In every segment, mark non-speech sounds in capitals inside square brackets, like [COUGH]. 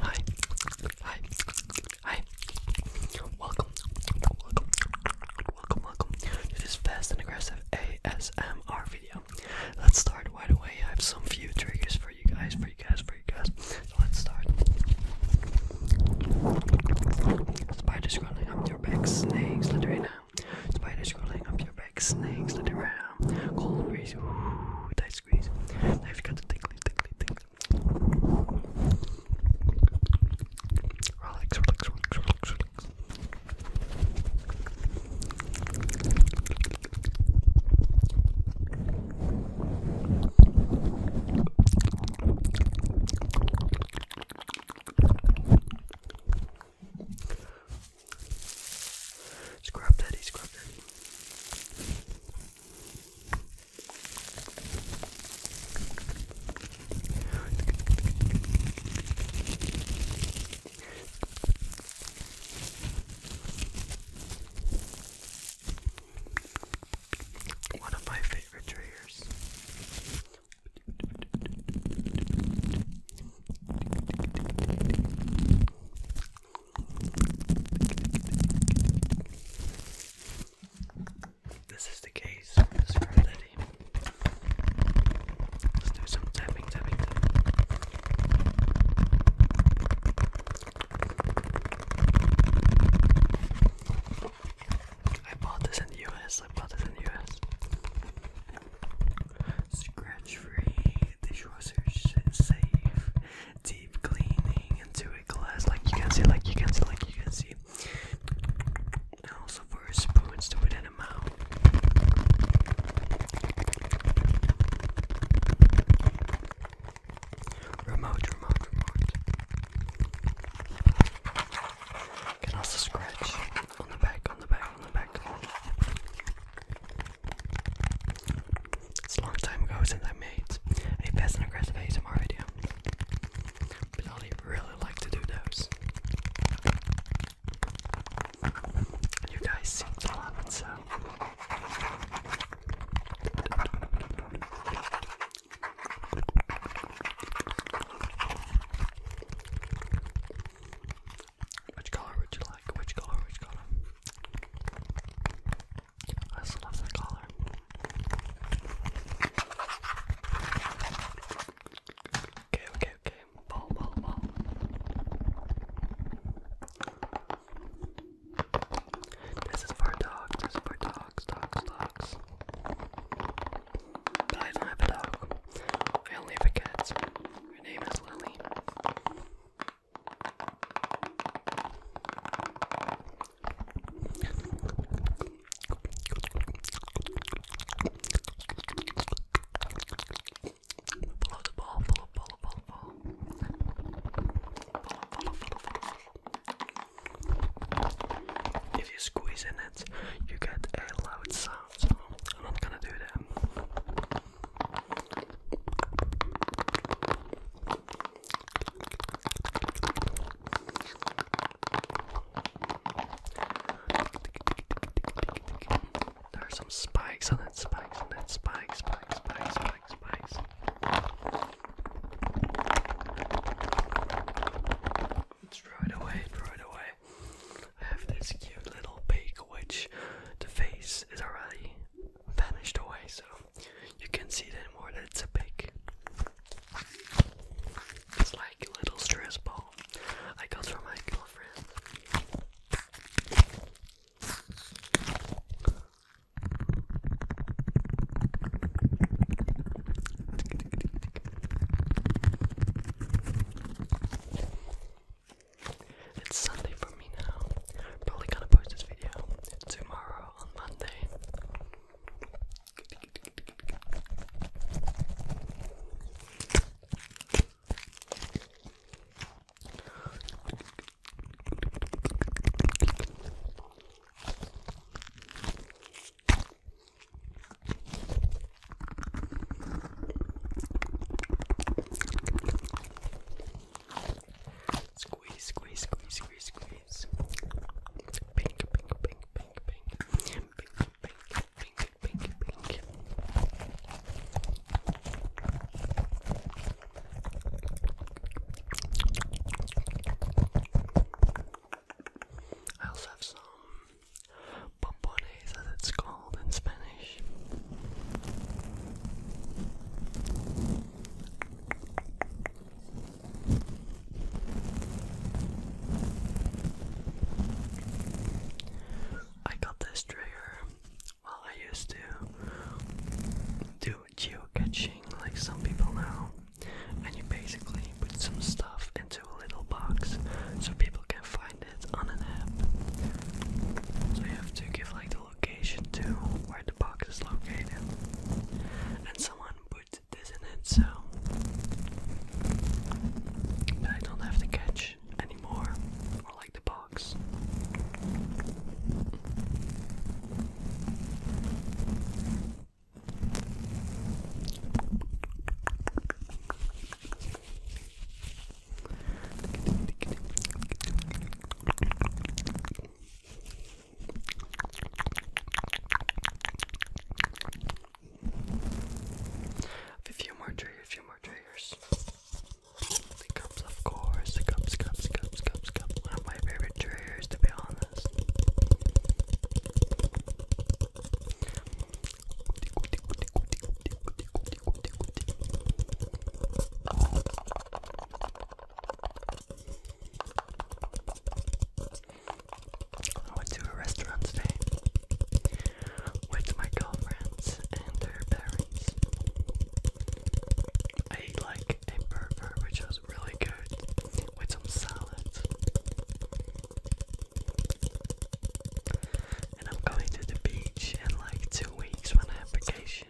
Hi, hi, hi. Welcome, welcome, welcome, welcome to this fast and aggressive ASMR video. Let's start right away. I have some few triggers for you guys, for you guys, for you guys. So let's start. Spider scrolling up your back, snakes, let it right now. Spider scrolling up your back, snakes, let it right yeah. Cold breeze, ooh, tight squeeze. Now you've got the tingly, tingly, tingly. Relax, relax, relax, relax, relax. Scrub daddy, scrub daddy. One of my favorite triggers. This is the case. This is Let's do some tapping, tapping. I bought this in the US. I bought this in the US. Scratch free, dishwasher safe, deep cleaning into a glass, like you can see, like you can see, like you can see. And also for spoons to within a mouth. Remote, remote, remote. Can also scratch on the back, on the back, on the back. It's a long time ago since I made a passive and aggressive ASMR video, but I really like to do those. You guys seem to love it, so. Which color would you like? Which color? Which color? I love that color. Okay, okay, okay. Ball, ball, ball. This is for dogs. This is for dogs, dogs, dogs. But I don't have a dog. I only have a Follow the ball, follow. Follow, follow, follow, follow, follow. If you squeeze in it, you get a loud sound. I'm gonna do them. There are some spikes on it, spikes on it, spikes, spikes, spikes, spikes, spikes. Throw it away, throw it away. I have this cute little pig, which the face is already vanished away, so you can see it anymore that it's a pig. It's like a little stress ball I got from my girlfriend. It's Sunday for me now. Probably gonna post this video tomorrow on Monday. Squeeze, squeeze, squeeze, squeeze, squeeze. Pink, pink, pink, pink, pink. Pink, pink, pink, pink, pink. I also have some pompones, as it's called in Spanish. I got this trigger while I used to do geocaching like some people now and you basically put some stuff into a little box so people can find it on an app. So you have to give like the location to where the box is located, and someone puts this in it. So, I don't have to catch anymore, or like the box. A few more triggers, a few more triggers. The cups, of course, the cups, cups, cups, cups, cups. One of my favorite triggers to be honest. I went to a restaurant today with my girlfriends and their parents. I ate like a burger, which was really good with some salad, And I'm going to the beach in like two weeks when I have vacation.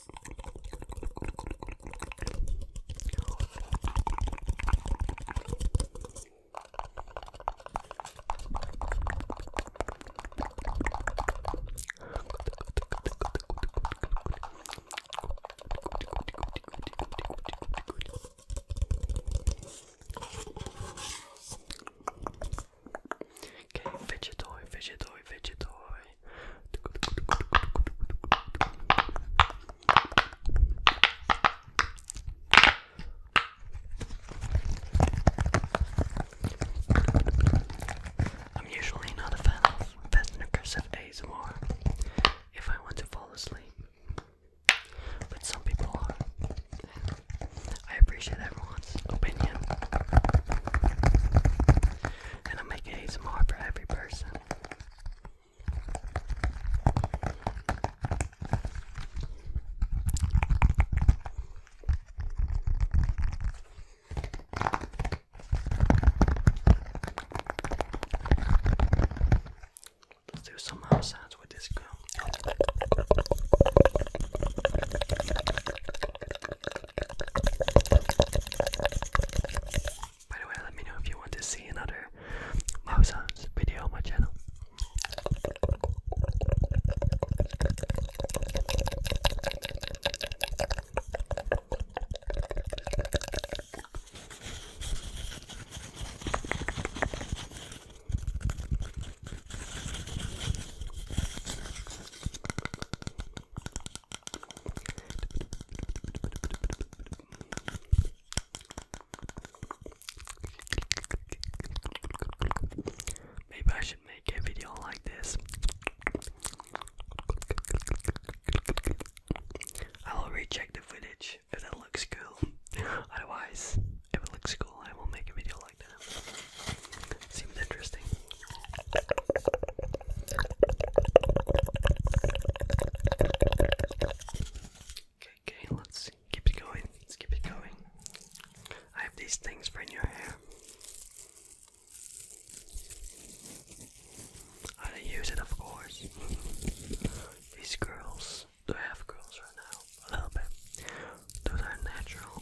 Okay, fidget toy, fidget toy, fidget toy. I'm usually not a fan of passive days more. if I want to fall asleep, but some people are. I appreciate everyone's opinion and I'm making more for every person. Let's do some mouth sounds with this girl. By the way, let me know if you want to see another mouse video on my channel. Maybe I should make a video like this. I will recheck the footage if it looks cool. [LAUGHS] Otherwise, if it looks cool, I will make a video stuff interesting. Okay, okay, let's keep it going. Let's keep it going. I have these things for in your hair. I don't use it, of course. These girls, do I have girls right now? A little bit. Those are natural.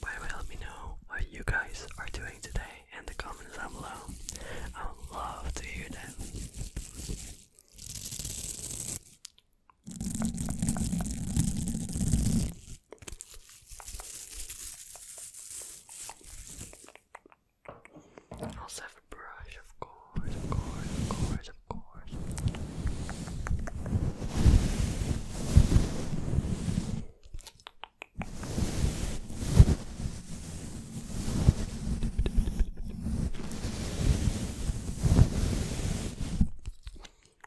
By the way, let me know what you guys are doing today in the comments down below. I would love to hear that. I also have a brush, of course, of course, of course, of course.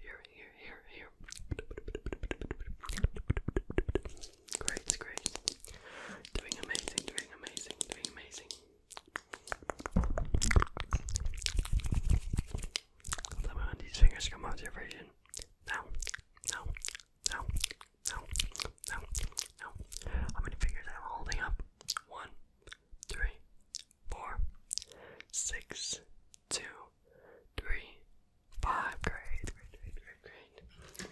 Here, here, here, here. Great, great. Doing amazing, doing amazing, doing amazing. Let me when these fingers come out your vision. Now, now, now, now, now, now. How many fingers am I holding up? One, three, four, six, two, three, five. Great, great, great, great, great.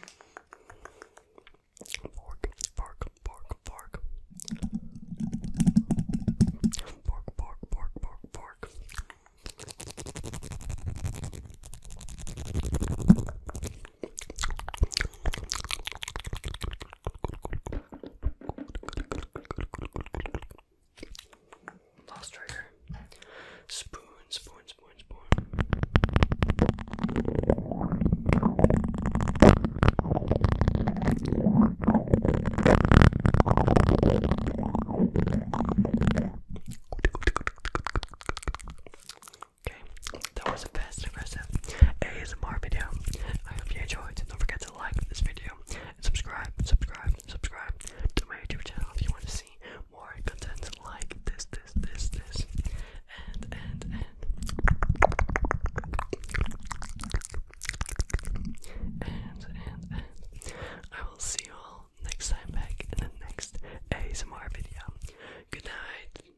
Fork, fork, fork, fork. Fork, fork, fork, fork, fork. Fork, Lost trigger. Spoon, spoon, spoon, spoon. Okay, that was a fast and aggressive ASMR video. I hope you enjoyed. Don't forget to like this video and subscribe, subscribe, subscribe to my YouTube channel if you want to see more content like this, this, this, this, and, and, and. And, and, and. I will see you all next time back in the next ASMR video. Good night.